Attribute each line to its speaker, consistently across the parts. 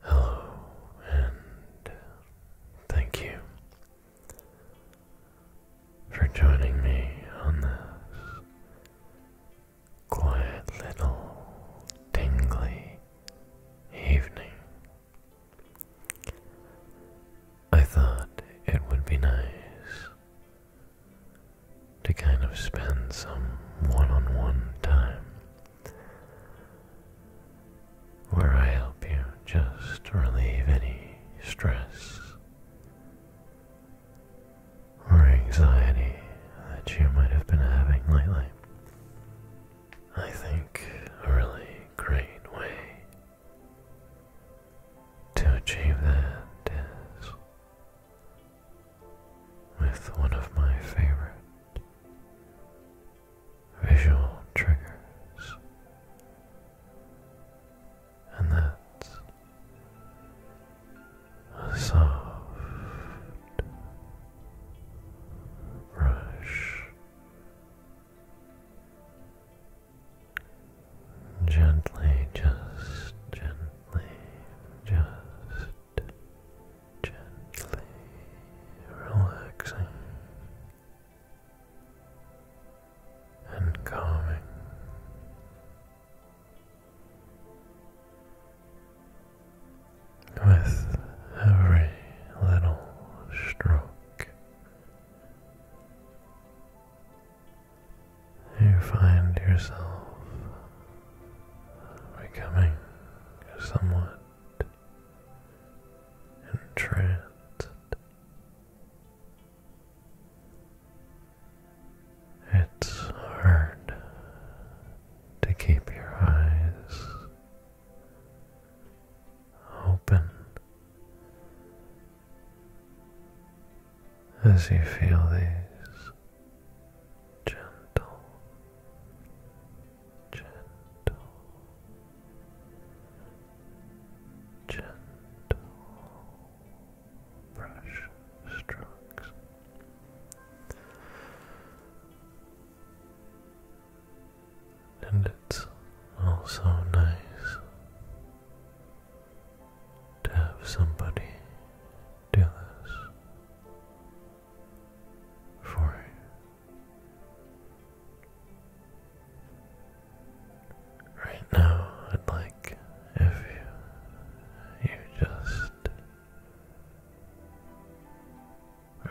Speaker 1: Hello, and thank you for joining me on this quiet little tingly evening. I thought it would be nice to kind of spend some one on one time where I help you just relieve any stress or anxiety that you might have been having lately. I think, a really great way to achieve that is with one of my favorite visual triggers, and that's a soft brush, gently, just gently, just gently relaxing and calming with every little stroke. You find yourself becoming somewhat entranced. It's hard to keep your eyes open as you feel these gentle, gentle, gentle brush strokes and it's also nice to have somebody do this for you. Right now, I'd like if you, you just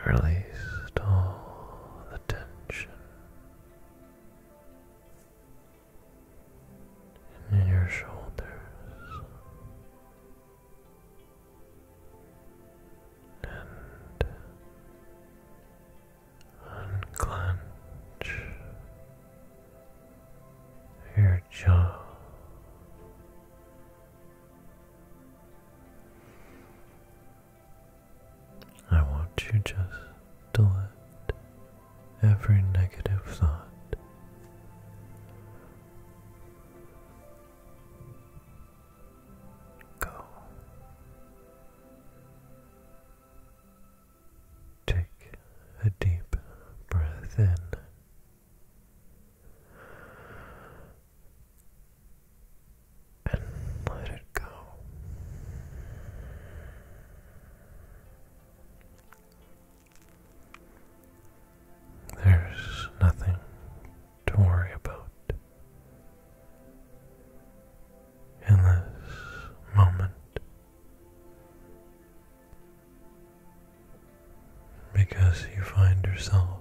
Speaker 1: Release all the tension in your shoulders and unclench your jaw. I want you just to let every negative thought go. Take a deep breath in and let it go. There's nothing to worry about in this moment because you find yourself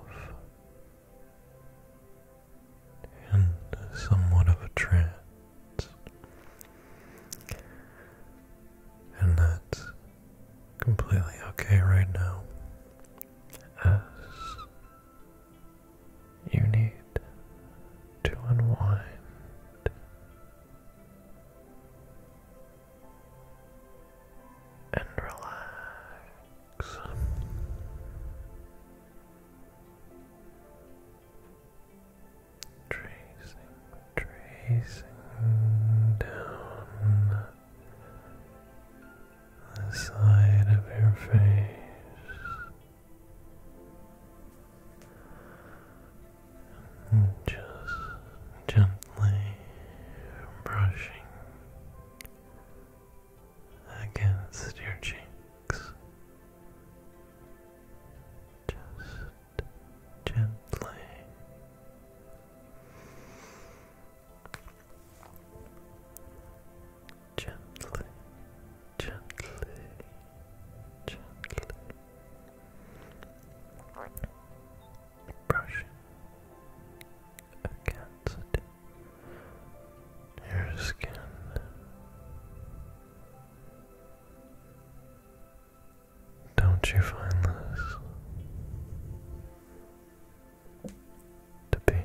Speaker 1: in somewhat of a trance. And that's completely okay right now, as you need to unwind and relax. Tracing, tracing down the side of your face just gently brushing against your cheeks. Just gently. Gently, gently, gently, brushing against your skin. Don't you find this to be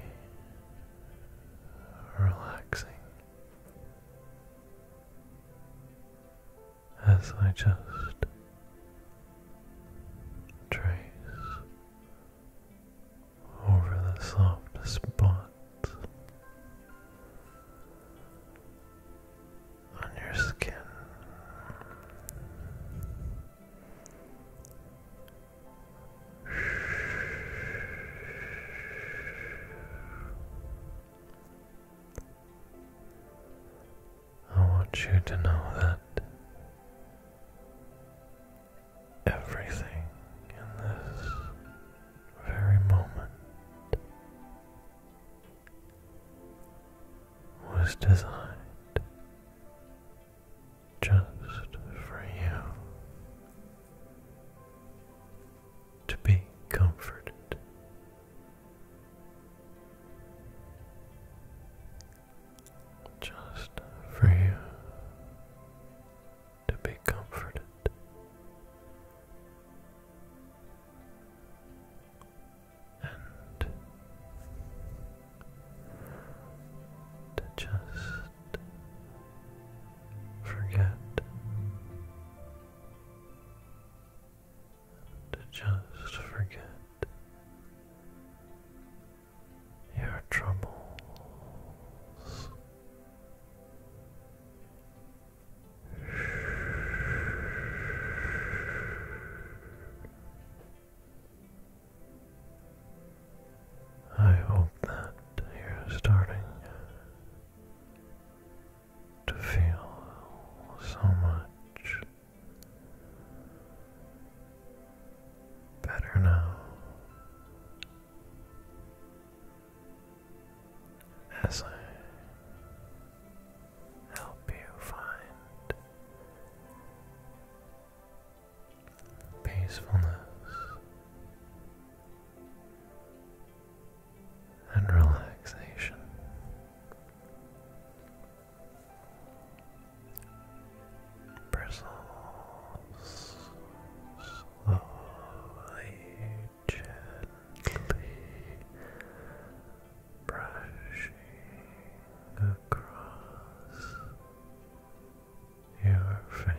Speaker 1: relaxing? as I just trace over the soft spots on your skin. I want you to know that everything in this very moment was designed just for you to be comforted. Just for you to be comforted. And to just forget to just forget your troubles. I hope that you're starting to feel so much better now. As I help you find peacefulness and relaxation. Bristles slowly, gently brushing across your face.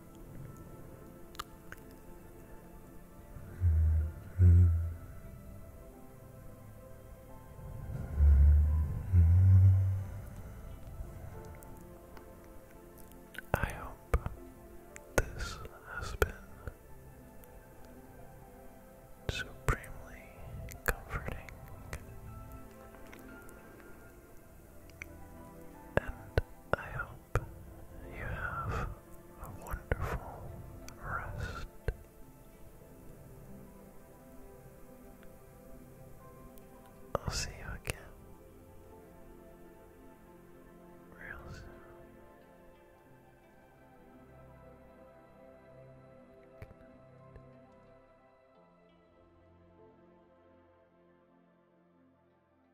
Speaker 1: I hope this has been supremely comforting and I hope you have a wonderful rest. I'll see you again real soon. Good night.